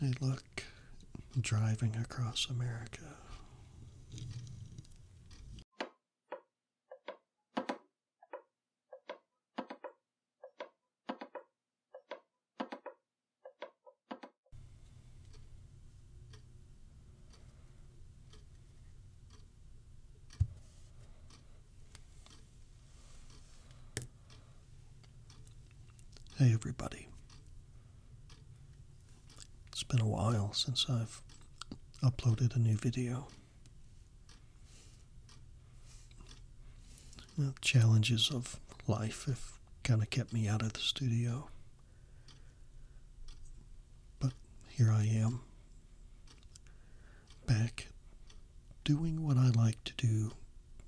I look driving across America. Hey, everybody. It's been a while since I've uploaded a new video. challenges of life have kind of kept me out of the studio. But here I am, back doing what I like to do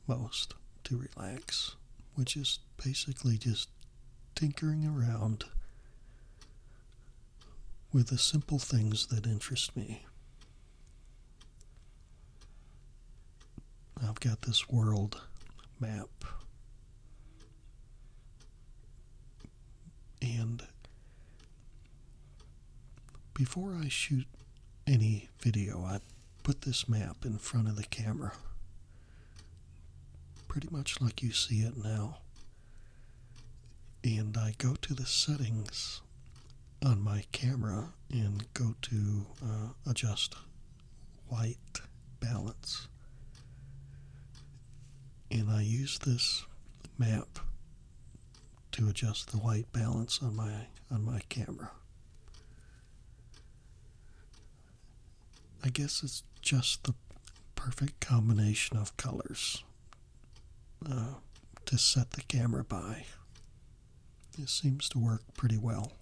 most to relax, which is basically just tinkering around with the simple things that interest me. I've got this world map. And before I shoot any video, I put this map in front of the camera pretty much like you see it now. And I go to the settings on my camera and go to uh, adjust white balance. And I use this map to adjust the white balance on my on my camera. I guess it's just the perfect combination of colors uh, to set the camera by. It seems to work pretty well.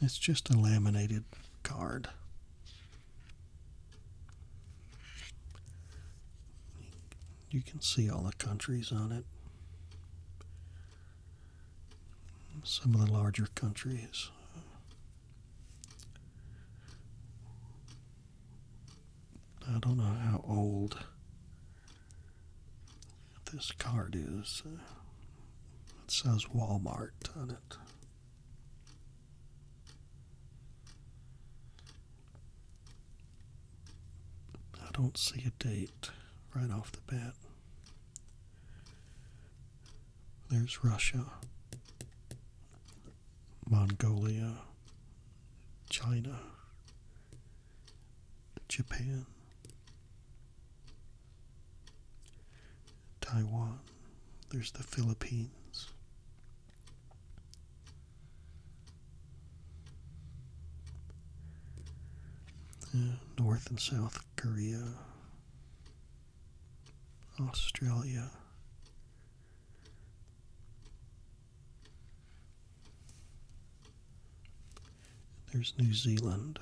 It's just a laminated card. You can see all the countries on it. Some of the larger countries. I don't know how old this card is. It says Walmart on it. I don't see a date right off the bat. There's Russia, Mongolia, China, Japan, Taiwan, there's the Philippines. North and South Korea, Australia. There's New Zealand.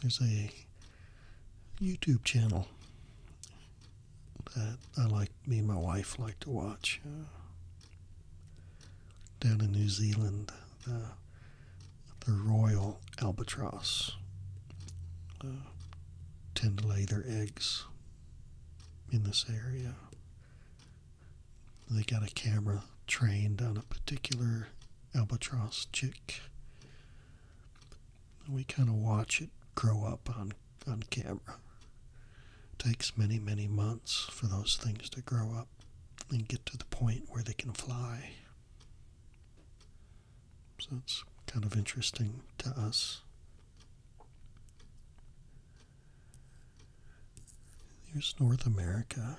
There's a YouTube channel that I like, me and my wife like to watch uh, down in New Zealand. Uh, the royal albatross uh, tend to lay their eggs in this area. They got a camera trained on a particular albatross chick we kind of watch it grow up on on camera. takes many many months for those things to grow up and get to the point where they can fly. So it's kind of interesting to us. Here's North America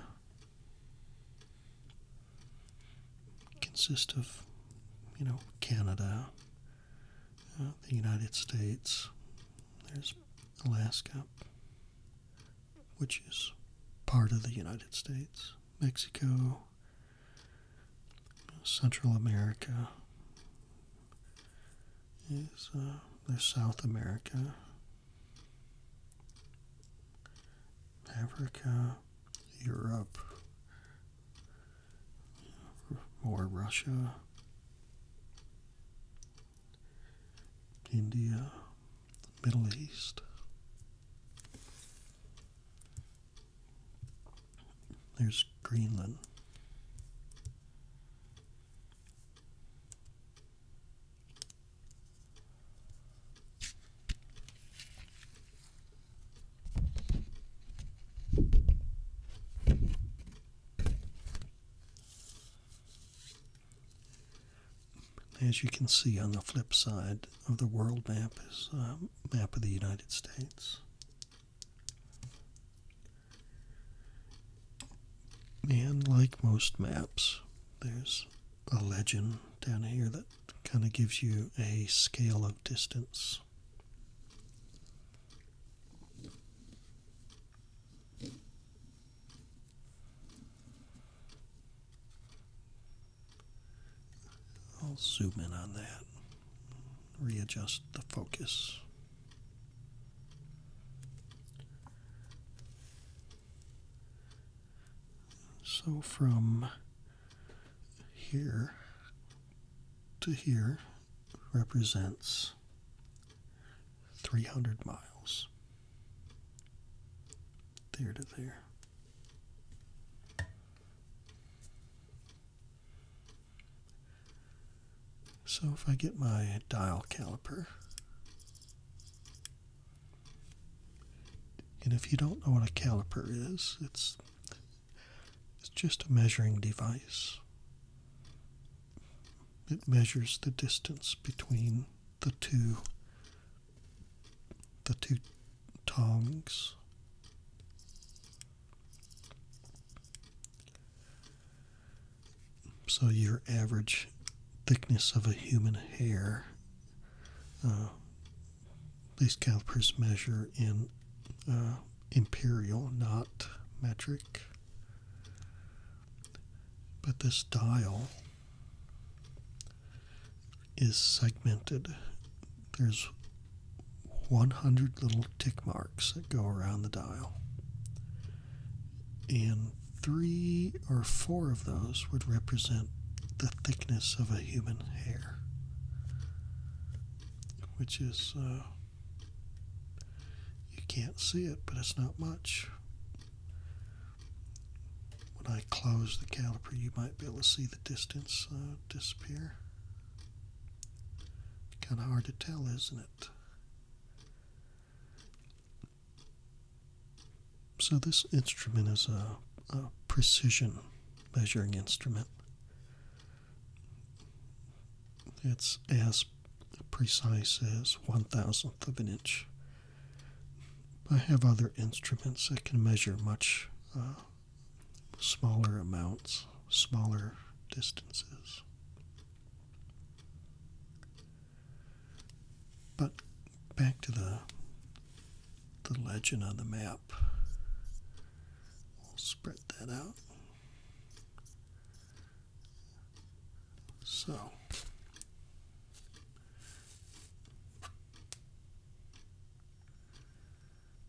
consist of, you know, Canada, uh, the United States, there's Alaska, which is part of the United States, Mexico, Central America, is, uh, South America, Africa, Europe or Russia, India, Middle East. There's Greenland. As you can see on the flip side of the world map is a uh, map of the United States. And like most maps, there's a legend down here that kind of gives you a scale of distance. I'll zoom in on that, readjust the focus. So from here to here represents 300 miles. There to there. So if I get my dial caliper and if you don't know what a caliper is, it's it's just a measuring device. It measures the distance between the two the two tongs. So your average thickness of a human hair uh, these calipers measure in uh, imperial, not metric. But this dial is segmented. There's 100 little tick marks that go around the dial. And three or four of those would represent the thickness of a human hair which is uh, you can't see it, but it's not much. When I close the caliper, you might be able to see the distance uh, disappear. Kind of hard to tell, isn't it? So this instrument is a, precision measuring instrument. It's as precise as one thousandth of an inch. I have other instruments that can measure much uh, smaller amounts, smaller distances. But back to the the legend on the map. We'll spread that out. So.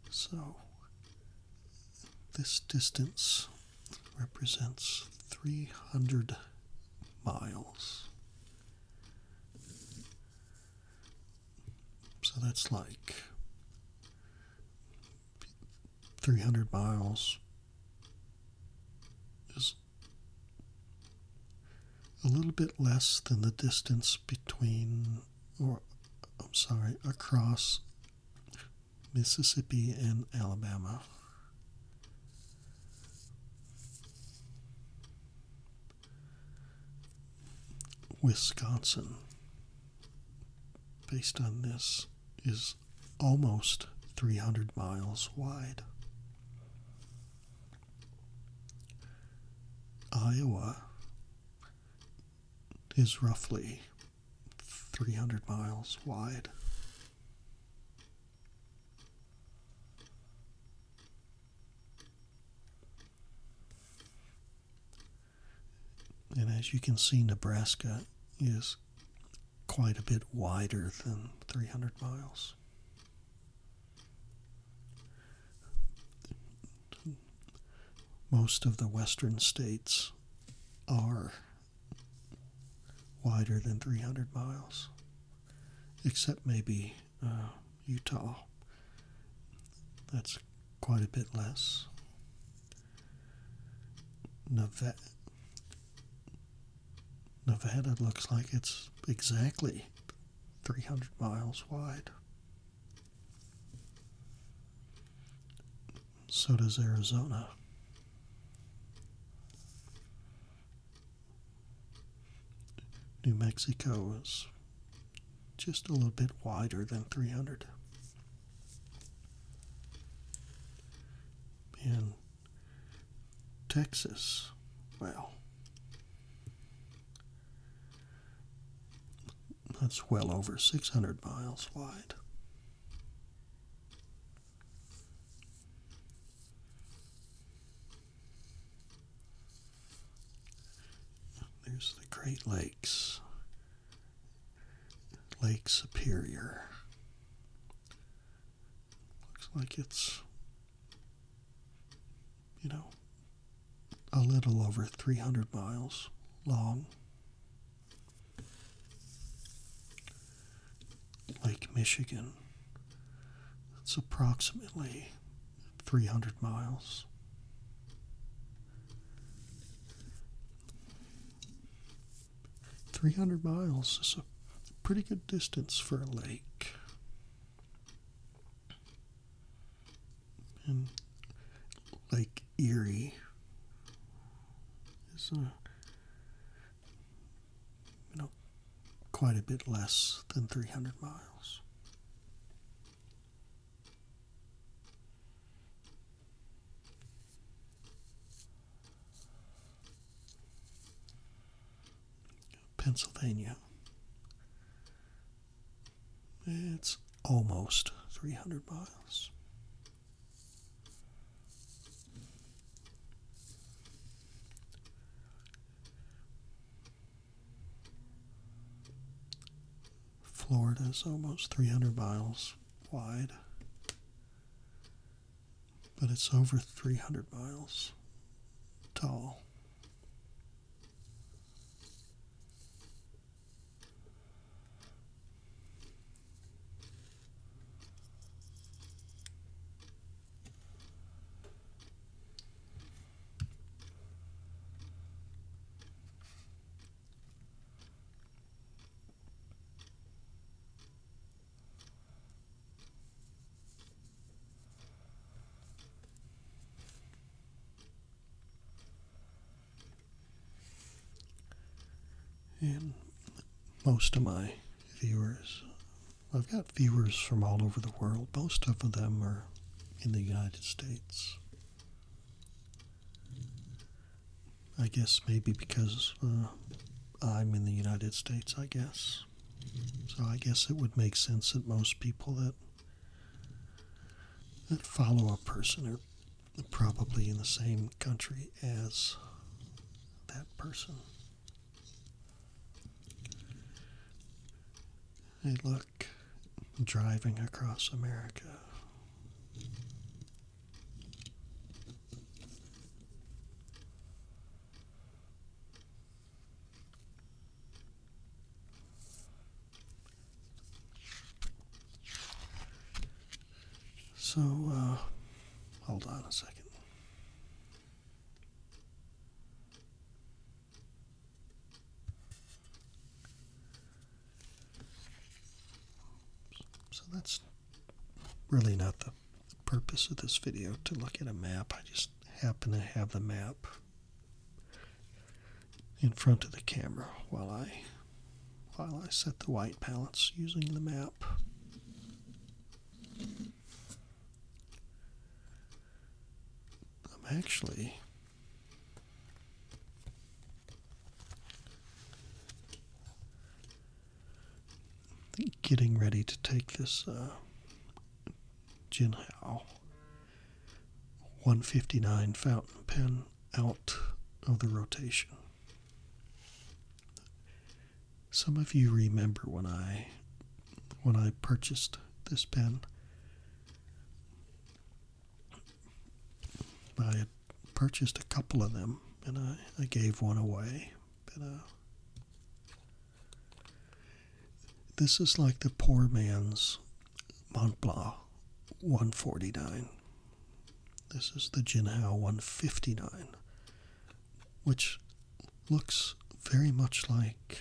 So, this distance represents 300 miles. So that's like 300 miles is a little bit less than the distance between, or I'm sorry, across Mississippi and Alabama. Wisconsin, based on this, is almost 300 miles wide. Iowa is roughly 300 miles wide. And as you can see, Nebraska is quite a bit wider than 300 miles. Most of the western states are wider than 300 miles, except maybe uh, Utah. That's quite a bit less. Nevada, Nevada looks like it's exactly 300 miles wide. So does Arizona. New Mexico is just a little bit wider than 300. In Texas, well, that's well over 600 miles wide. There's the Great Lakes, Lake Superior. Looks like it's, you know, a little over 300 miles long. Lake Michigan. It's approximately 300 miles. Three hundred miles is a pretty good distance for a lake. And Lake Erie is a uh, you know quite a bit less than three hundred miles. Pennsylvania. It's almost 300 miles. Florida is almost 300 miles wide, but it's over 300 miles tall. And most of my viewers, I've got viewers from all over the world. Most of them are in the United States. I guess maybe because uh, I'm in the United States, I guess. So I guess it would make sense that most people that that follow a person are probably in the same country as that person. Hey, look, driving across America. So, uh, hold on a second. So that's really not the purpose of this video to look at a map. I just happen to have the map in front of the camera while I while I set the white palettes using the map. I'm actually Getting ready to take this uh, Jinhao 159 fountain pen out of the rotation. Some of you remember when I when I purchased this pen. I had purchased a couple of them and I, gave one away. But uh, this is like the poor man's Mont Blanc 149. This is the Jinhao 159, which looks very much like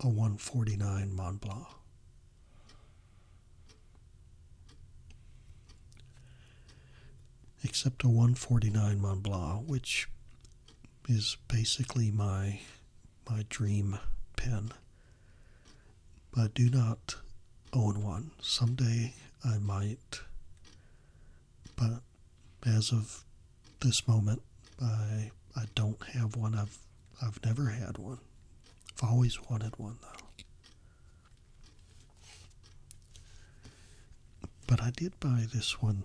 a 149 Montblanc, Except a 149 Montblanc, which is basically my my dream pen. But I do not own one. Someday I might, but as of this moment, I I don't have one. I've I've never had one. I've always wanted one, though. But I did buy this one,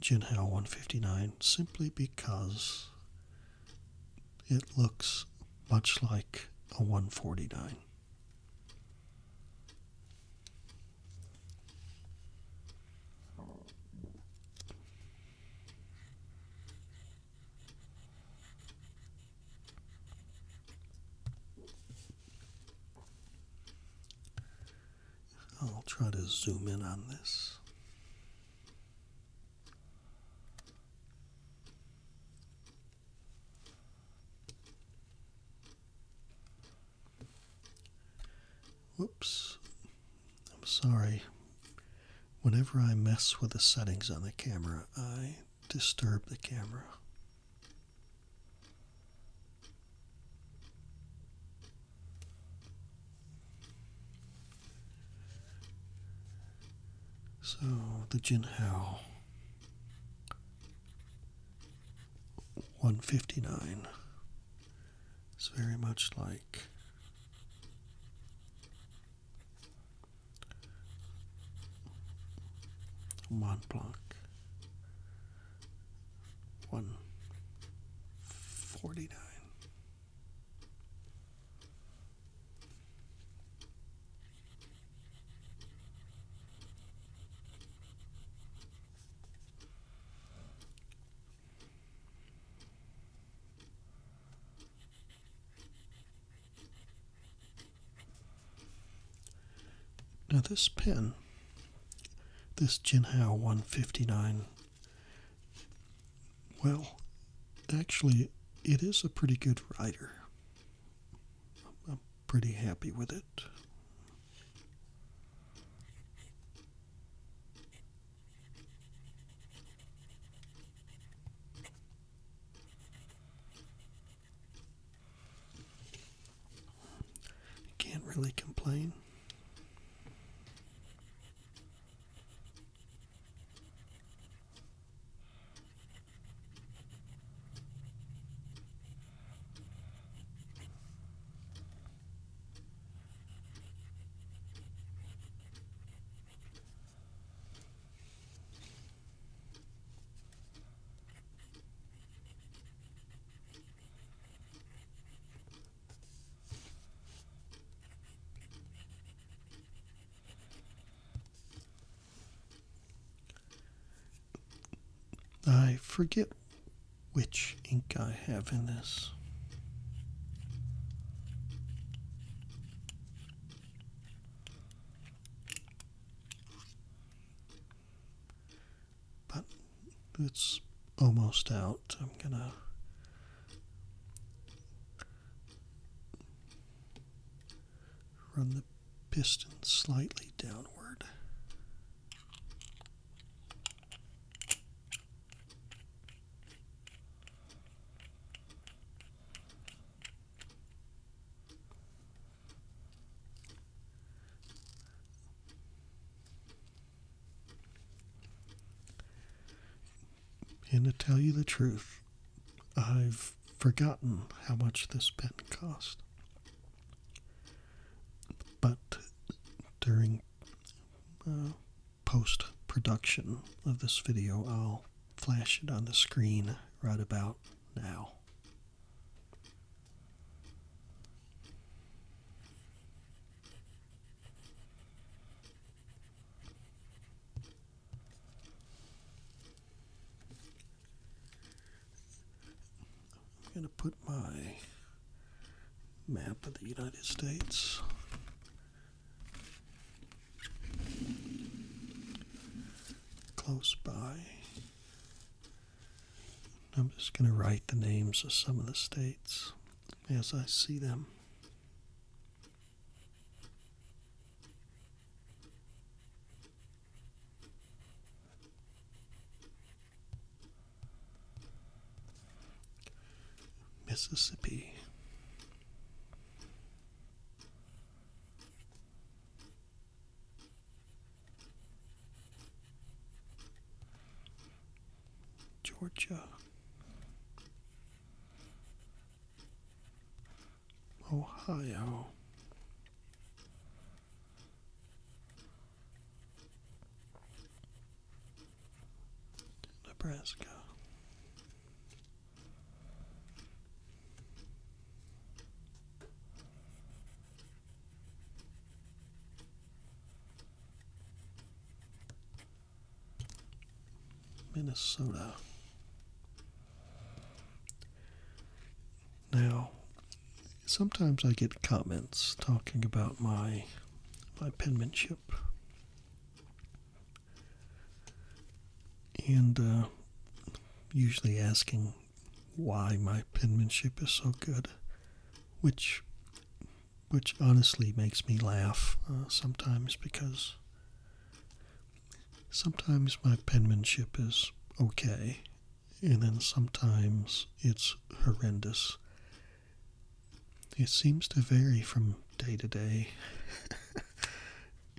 Jinhao 159, simply because it looks much like a 149. I'll try to zoom in on this. Whoops, I'm sorry. Whenever I mess with the settings on the camera, I disturb the camera. So the Jinhao 159 is very much like one block, one forty nine. Now, this pen, this Jinhao 159, well, actually, it is a pretty good writer. I'm pretty happy with it can't really complain. I forget which ink I have in this. But it's almost out. I'm gonna run the piston slightly downward. And to tell you the truth, I've forgotten how much this pen cost. But during uh, post production of this video. I'll flash it on the screen right about now. I'm going to put my map of the United States Close by. I'm just going to write the names of some of the states as I see them. Mississippi, Georgia, Ohio, Nebraska. Minnesota. Now, sometimes I get comments talking about my my penmanship and uh, usually asking why my penmanship is so good, which which honestly makes me laugh uh, sometimes because sometimes my penmanship is okay, and then sometimes it's horrendous. It seems to vary from day to day.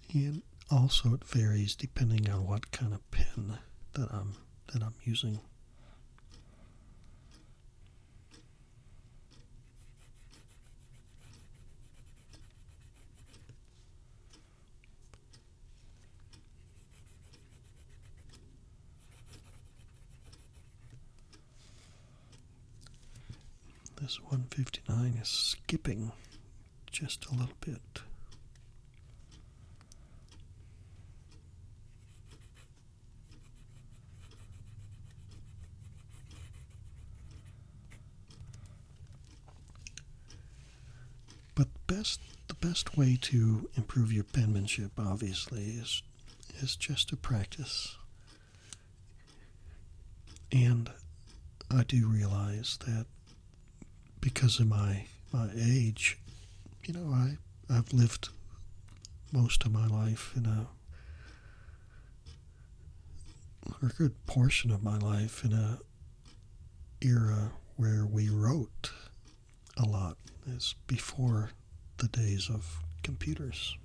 and also it varies depending on what kind of pen that I'm that I'm using. This 159 is skipping just a little bit. But the best the best way to improve your penmanship obviously is is just to practice and I do realize that because of my my age, you know, I I've lived most of my life in a or a good portion of my life in a era where we wrote a lot as before the days of computers.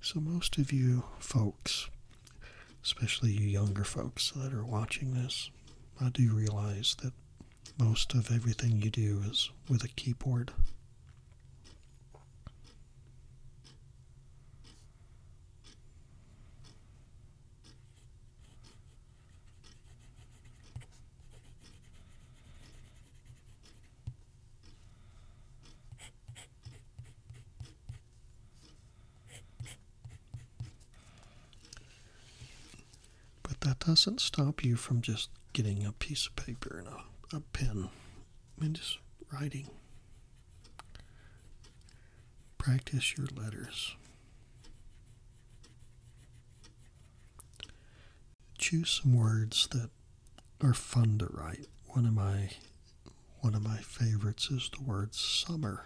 So, most of you folks, especially you younger folks that are watching this, I do realize that most of everything you do is with a keyboard. But that doesn't stop you from just getting a piece of paper and a, a pen and just writing. Practice your letters. Choose some words that are fun to write. One of my one of my favorites is the word summer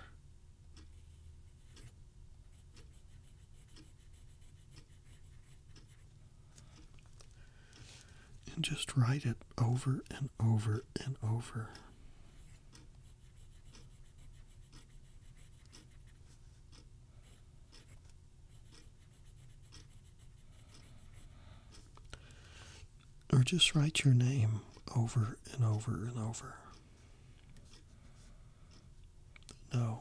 and just write it over and over and over. Or just write your name over and over and over. No.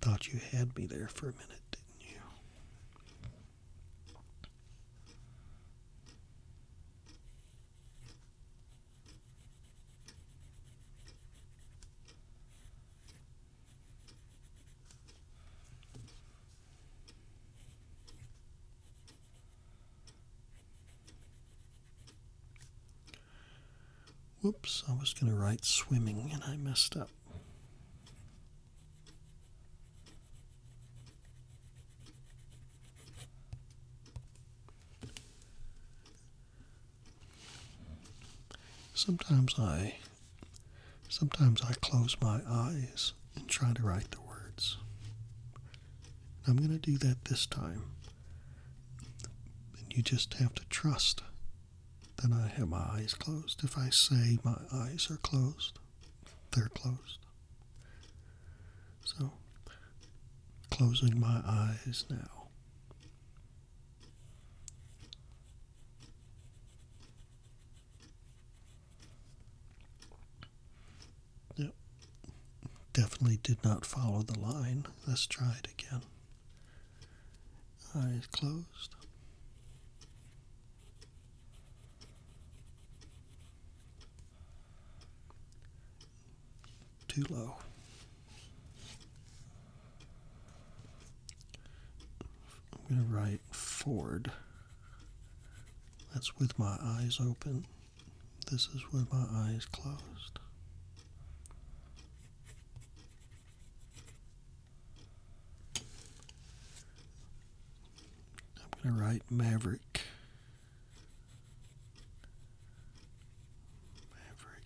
Thought you had me there for a minute, didn't you? Whoops, I was going to write swimming and I messed up. Sometimes I sometimes I close my eyes and try to write the words. I'm going to do that this time. And you just have to trust then I have my eyes closed. If I say my eyes are closed, they're closed. So, closing my eyes now. Yep. Definitely did not follow the line. Let's try it again. Eyes closed. Too low. I'm going to write forward. That's with my eyes open. This is with my eyes closed. I'm going to write Maverick. Maverick.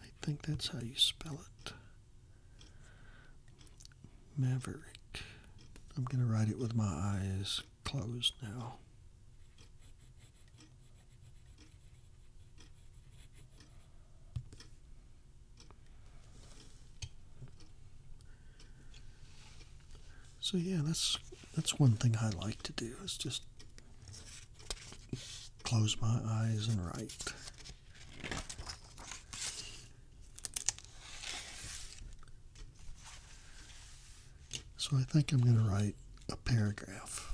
I think that's how you spell it. Maverick. I'm going to write it with my eyes closed now. So yeah, that's that's one thing I like to do is just close my eyes and write. So I think I'm going to write a paragraph.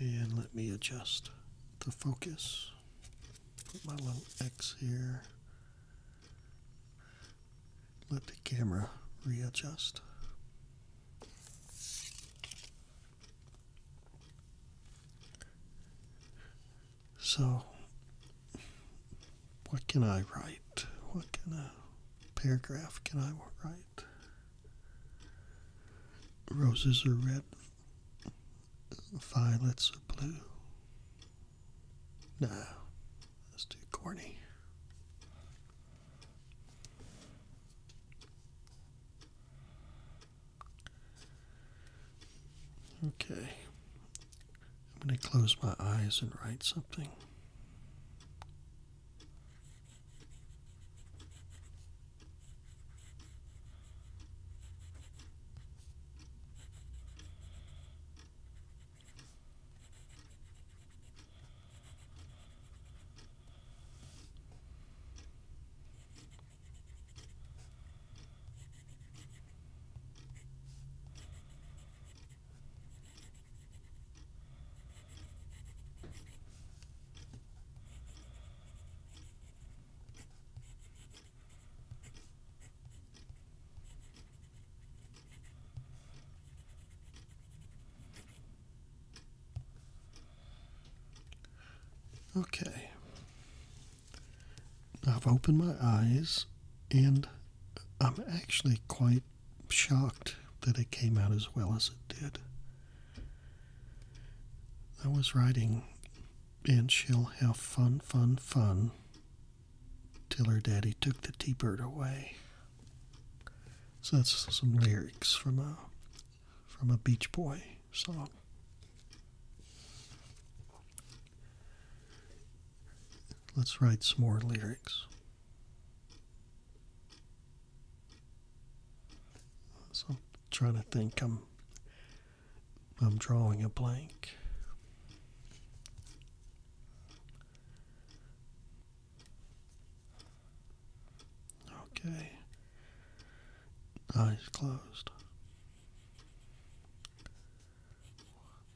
And let me adjust the focus. Put my little X here. Let the camera readjust. So what can I write? What kind of paragraph can I write? Roses are red, violets are blue. No, that's too corny. Okay. I'm going to close my eyes and write something. Okay. I've opened my eyes and I'm actually quite shocked that it came out as well as it did. I was writing, and she'll have fun, fun, fun, till her daddy took the T bird away. So that's some lyrics from a from a Beach Boy song. Let's write some more lyrics. So I'm trying to think I'm I'm drawing a blank. Okay. Eyes closed.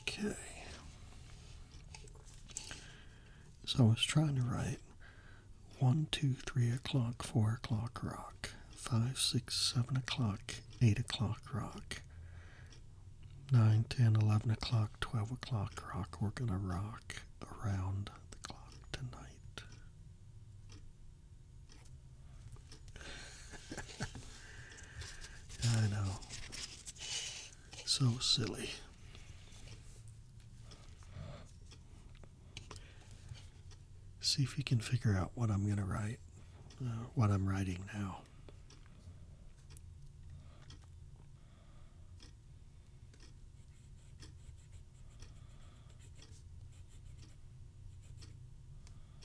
Okay. So I was trying to write one, two, three o'clock, four o'clock rock, five, six, seven o'clock, eight o'clock rock, nine, ten, eleven o'clock, twelve o'clock rock. We're gonna rock around the clock tonight. I know. So silly. See if you can figure out what I'm going to write, uh, what I'm writing now.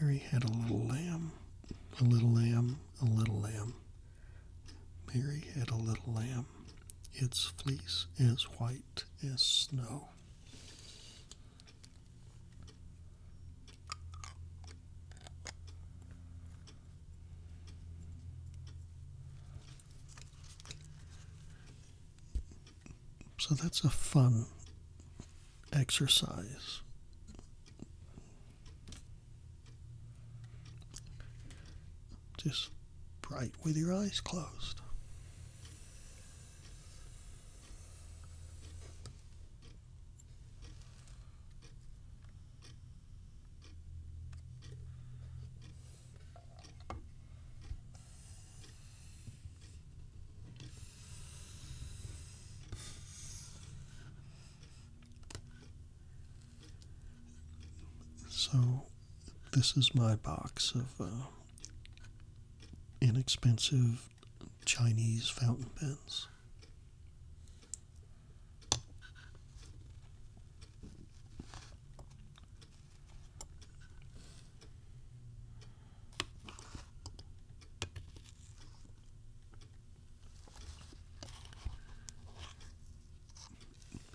Mary had a little lamb, a little lamb a little lamb. Mary had a little lamb, its fleece as white as snow. So that's a fun exercise just bright with your eyes closed. So, this is my box of uh, inexpensive Chinese fountain pens.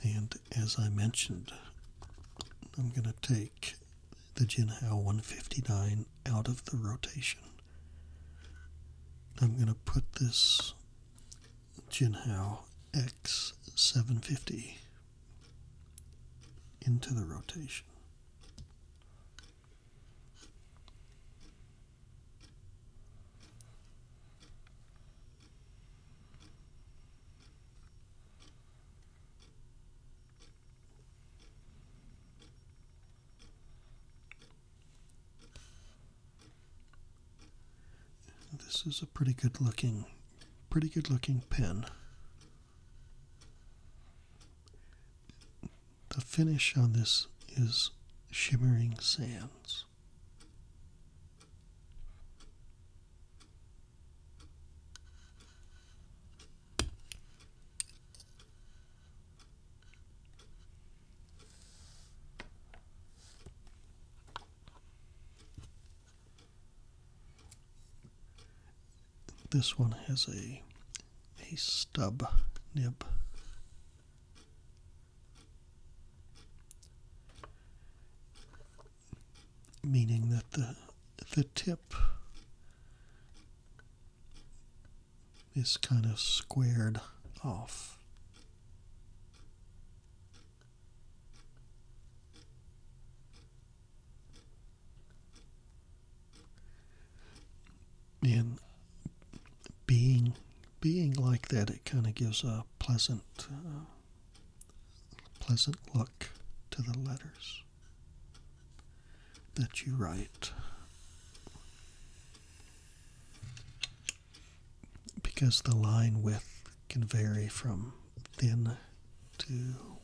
And as I mentioned, I'm going to take the Jinhao 159 out of the rotation. I'm going to put this Jinhao X750 into the rotation. This is a pretty good looking pretty good looking pen. The finish on this is shimmering sands. This one has a a stub nib meaning that the the tip is kind of squared off. And being being like that, it kind of gives a pleasant, uh, pleasant look to the letters that you write. Because the line width can vary from thin to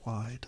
wide.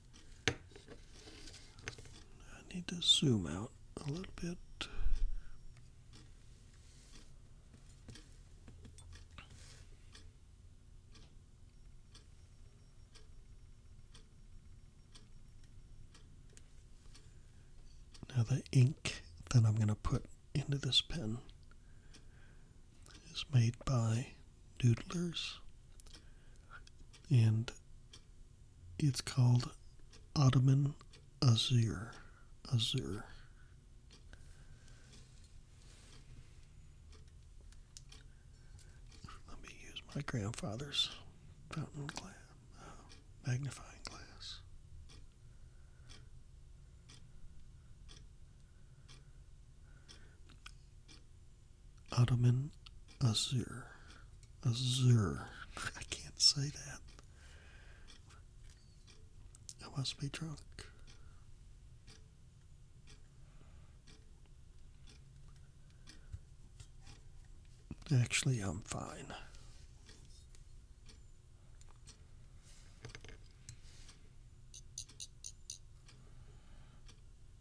I need to zoom out a little bit. Now the ink that I'm going to put into this pen is made by doodlers. And it's called Ottoman Azir. Azir. Let me use my grandfather's fountain glass, magnifying glass. Ottoman Azure. Azure. I can't say that. I must be drunk. Actually, I'm fine.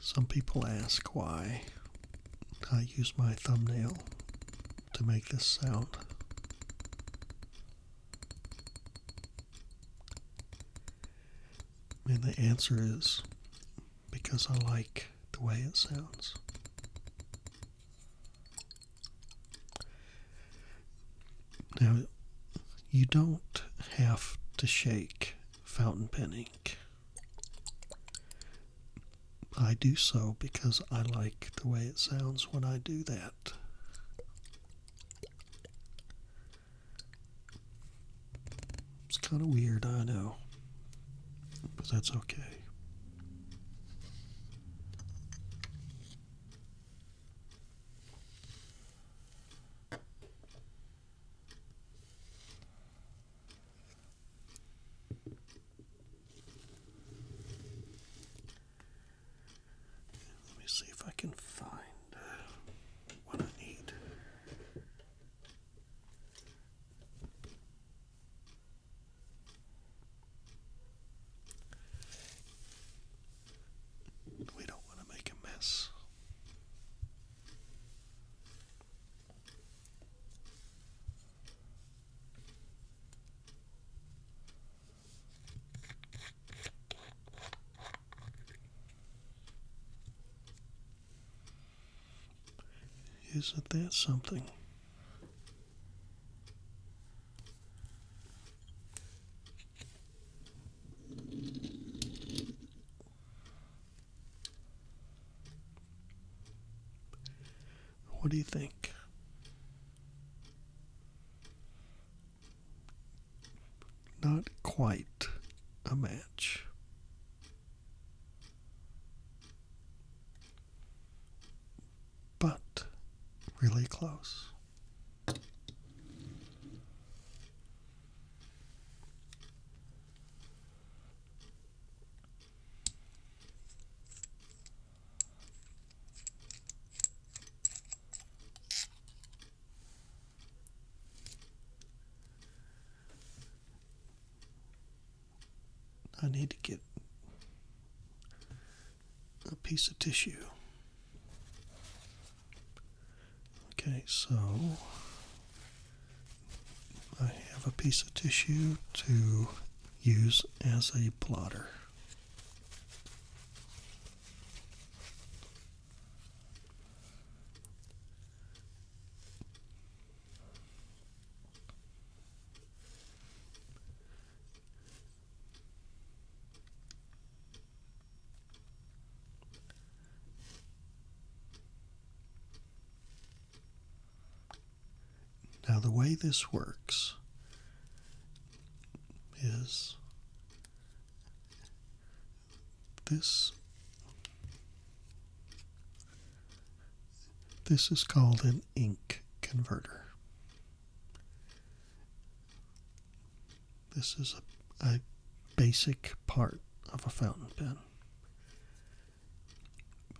Some people ask why I use my thumbnail to make this sound. And the answer is because I like the way it sounds. Now, you don't have to shake fountain pen ink. I do so because I like the way it sounds when I do that. It's kind of weird, I know, but that's okay. Let me see if I can find uh, what I need. We don't want to make a mess. Isn't that something? What do you think? Not quite a match. But really close. I need to get a piece of tissue. Okay, so I have a piece of tissue to use as a blotter. Now, the way this works is this this is called an ink converter this is a, basic part of a fountain pen.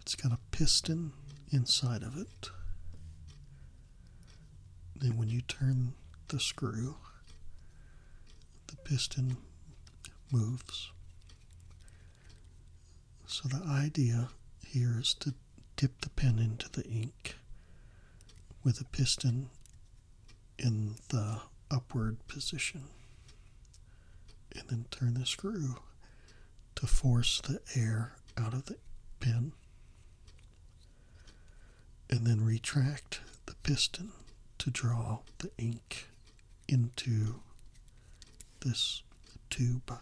It's got a piston inside of it. Then, when you turn the screw, the piston moves. So, the idea here is to dip the pen into the ink with a piston in the upward position. And then turn the screw to force the air out of the pin. And then retract the piston to draw the ink into this tube. Uh,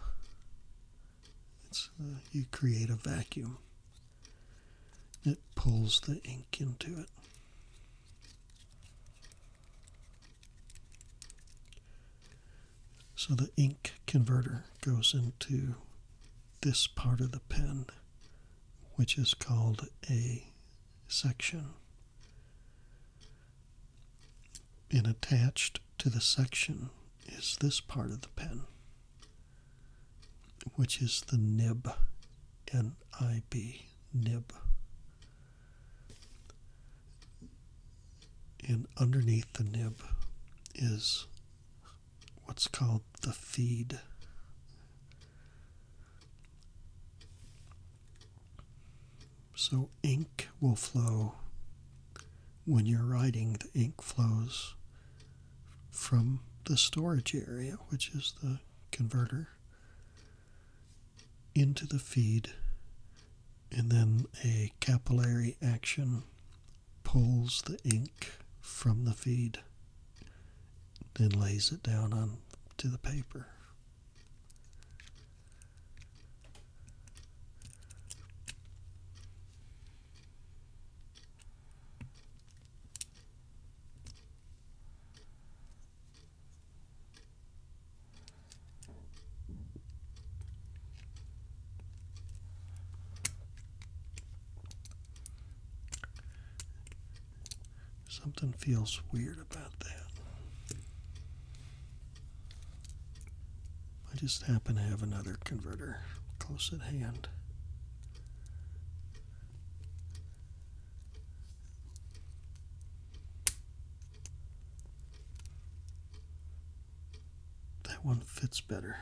you create a vacuum it pulls the ink into it. So the ink converter goes into this part of the pen, which is called a section. And attached to the section is this part of the pen which is the nib, N I B, nib. And underneath the nib is what's called the feed. So ink will flow when you're writing, the ink flows from the storage area, which is the converter, into the feed, and then a capillary action pulls the ink from the feed, then lays it down onto the paper. Something feels weird about that. I just happen to have another converter close at hand. That one fits better.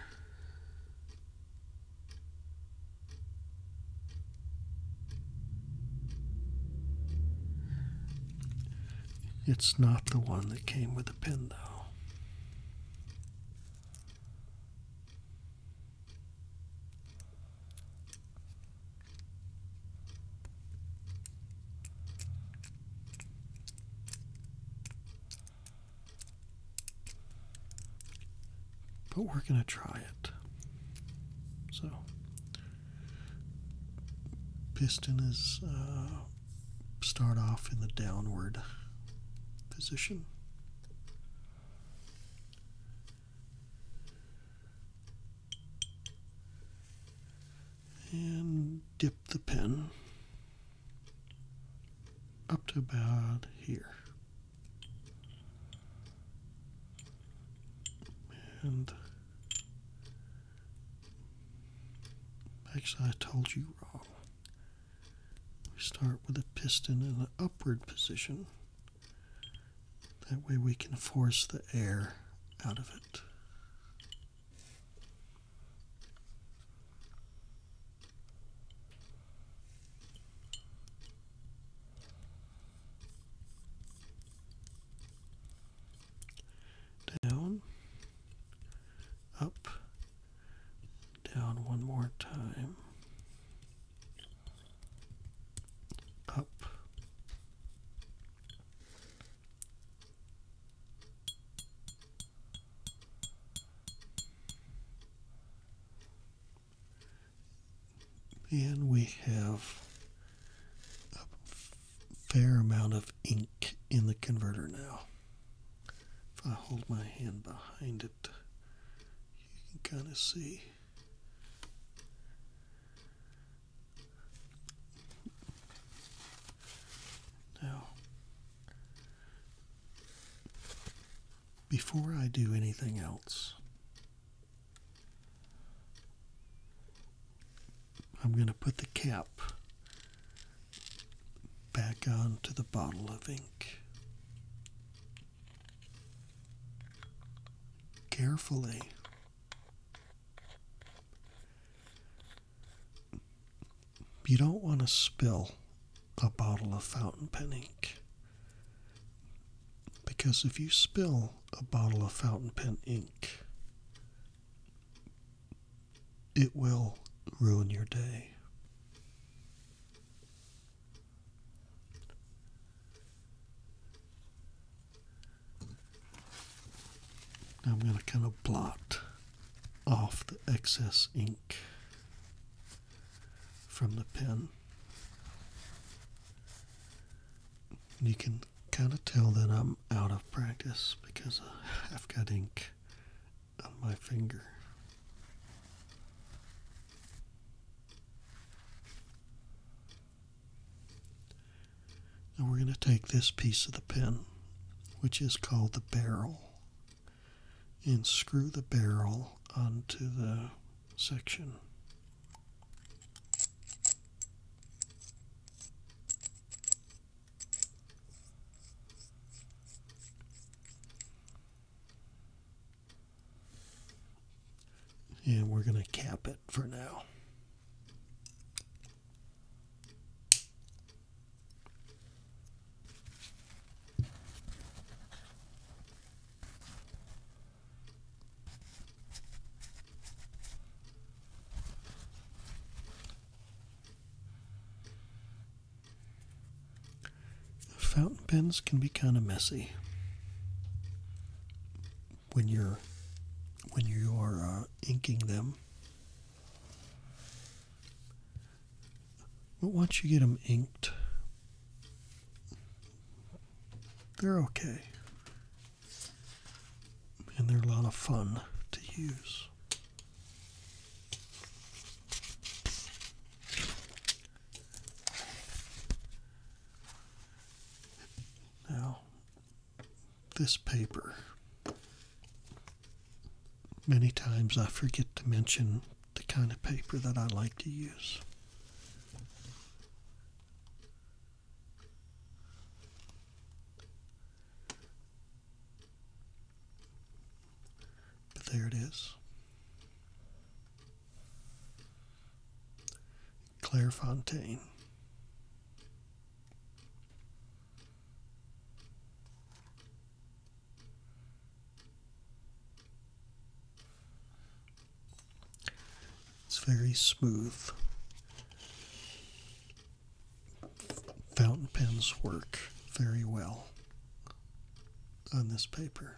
It's not the one that came with the pen, though. But we're going to try it. So, piston is uh, start off in the downward position and dip the pen up to about here. And actually, I told you wrong. We start with a piston in an upward position that way we can force the air out of it. Down, up, down one more time up and we have a fair amount of ink in the converter now. If I hold my hand behind it, you can kind of see. Now, before I do anything else, I'm going to put the cap back onto the bottle of ink carefully. You don't want to spill a bottle of fountain pen ink because if you spill a bottle of fountain pen ink, it will ruin your day. Now I'm going to kind of blot off the excess ink from the pen. You can kind of tell that I'm out of practice because I've got ink on my finger. Now we're going to take this piece of the pen, which is called the barrel, and screw the barrel onto the section. And we're going to cap it for now. Fountain pens can be kind of messy when you're when you are uh, inking them. But once you get them inked, they're okay. And they're a lot of fun to use. Now, this paper, many times I forget to mention the kind of paper that I like to use. But there it is. Claire Fontaine. It's very smooth. Fountain pens work very well on this paper.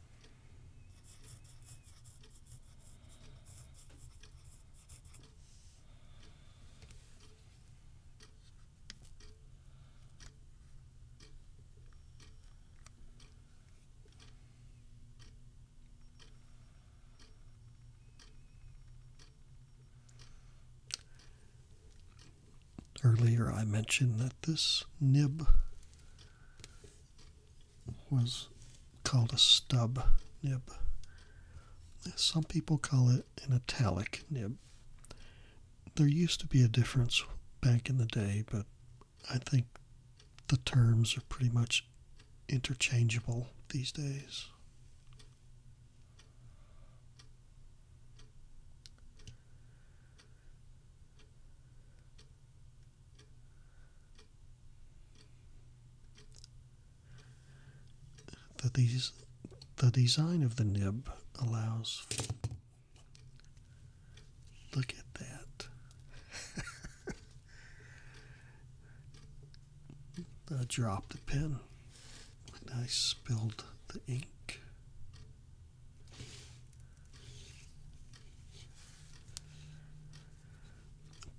Earlier, I mentioned that this nib was called a stub nib. Some people call it an italic nib. There used to be a difference back in the day, but I think the terms are pretty much interchangeable these days. The, design of the nib allows. Look at that. I dropped the pen and I spilled the ink.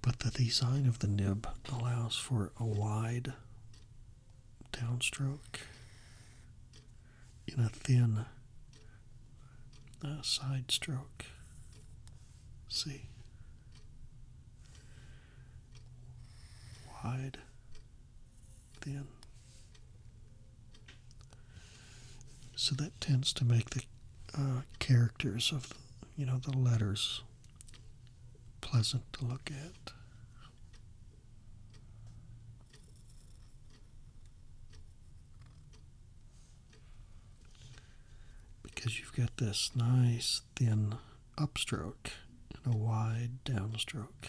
But the design of the nib allows for a wide downstroke in a thin uh, side stroke. See? Wide, thin so that tends to make the uh, characters of, you know, the letters pleasant to look at. Because you've got this nice thin upstroke and a wide downstroke.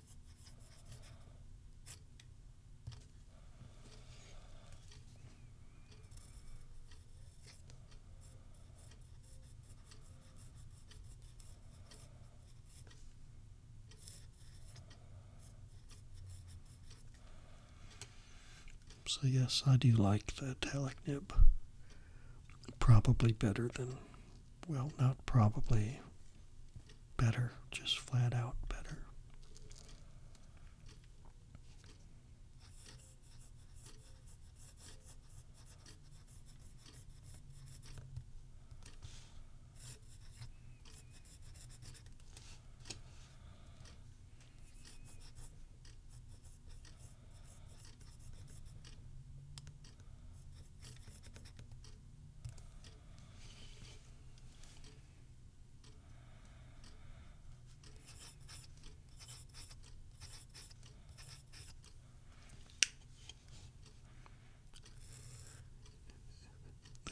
So, yes, I do like the italic nib. Probably better than well, not probably better, just flat out better.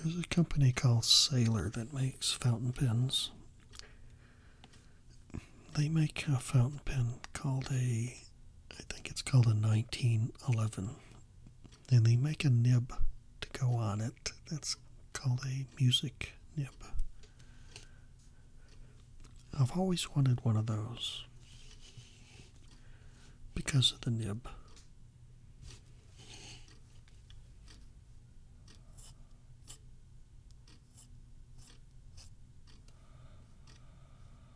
There's a company called Sailor that makes fountain pens. They make a fountain pen called a, I think it's called a 1911 and they make a nib to go on it. That's called a music nib. I've always wanted one of those because of the nib.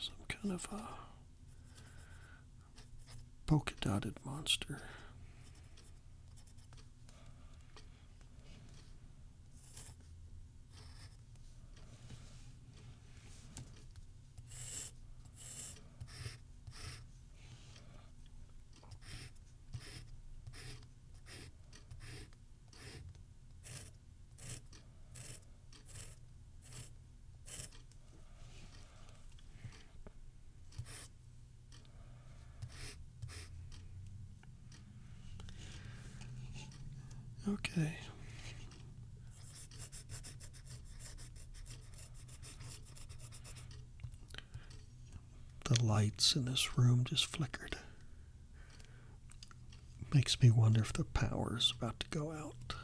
some kind of a polka dotted monster. Okay. The lights in this room just flickered. Makes me wonder if the power's about to go out.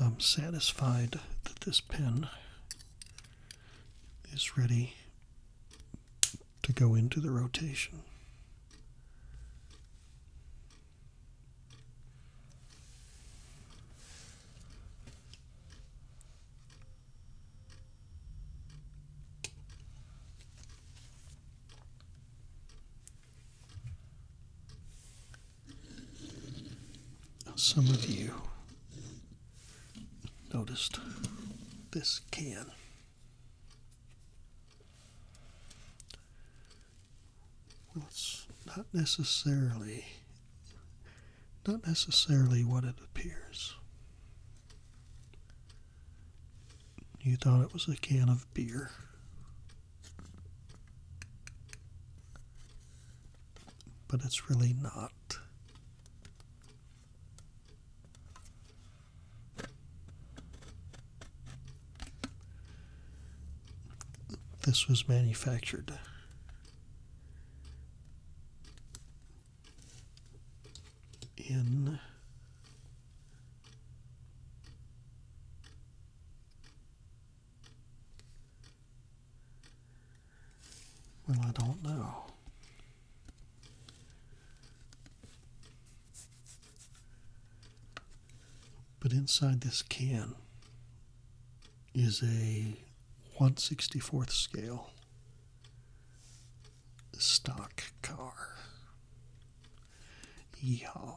I'm satisfied that this pen is ready to go into the rotation some of you noticed this can. Well, it's not necessarily not necessarily what it appears. You thought it was a can of beer but it's really not. This was manufactured. In well, I don't know. But inside this can is a 164th scale stock car. Yeehaw.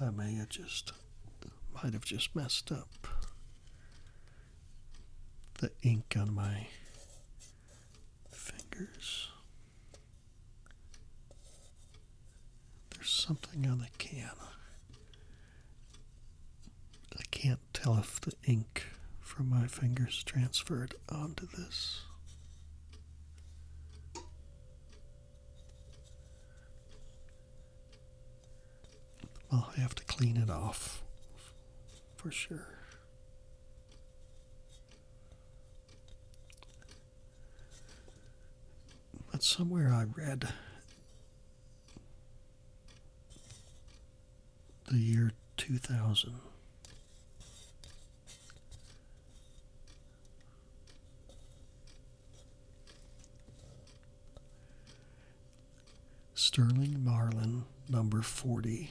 I may have just might have just messed up the ink on my fingers. There's something on the can. I can't tell if the ink from my fingers transferred onto this. I'll have to clean it off for sure. But somewhere I read the year 2000. Sterling Marlin, number 40,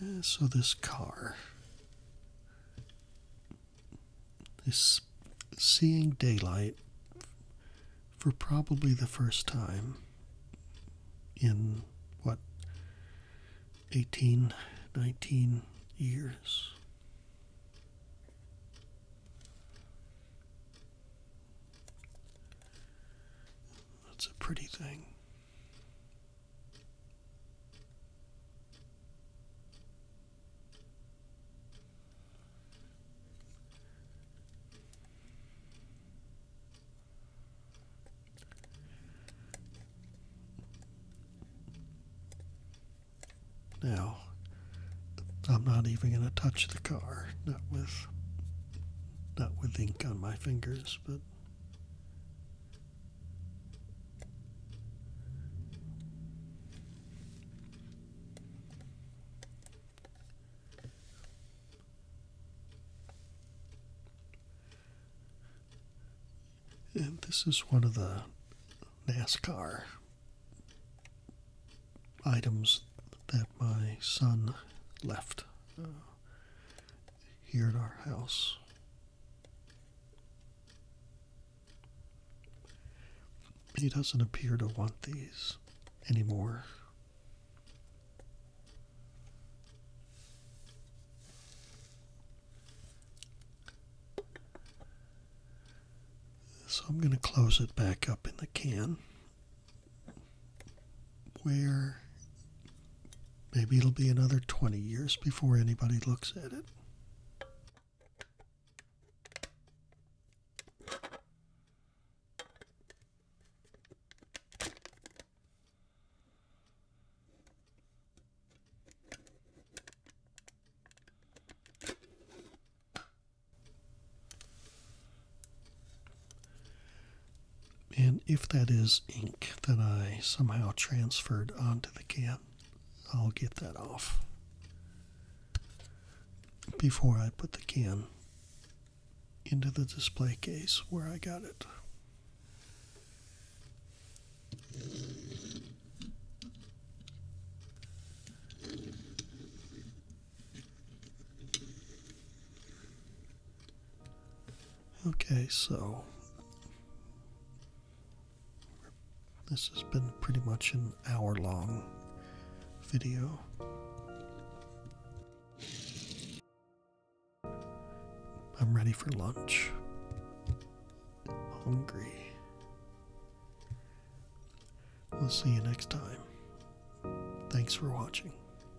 Uh, so this car is seeing daylight for probably the first time in what 18 19 years that's a pretty thing. Now, I'm not even going to touch the car, not with not with ink on my fingers, but this is one of the NASCAR items that my son left. Uh, here at our house. He doesn't appear to want these anymore. So I'm going to close it back up in the can where maybe it'll be another 20 years before anybody looks at it. And if that is ink that I somehow transferred onto the can, I'll get that off before I put the can into the display case where I got it. Okay, so this has been pretty much an hour long video. I'm ready for lunch. Hungry. We'll see you next time. Thanks for watching.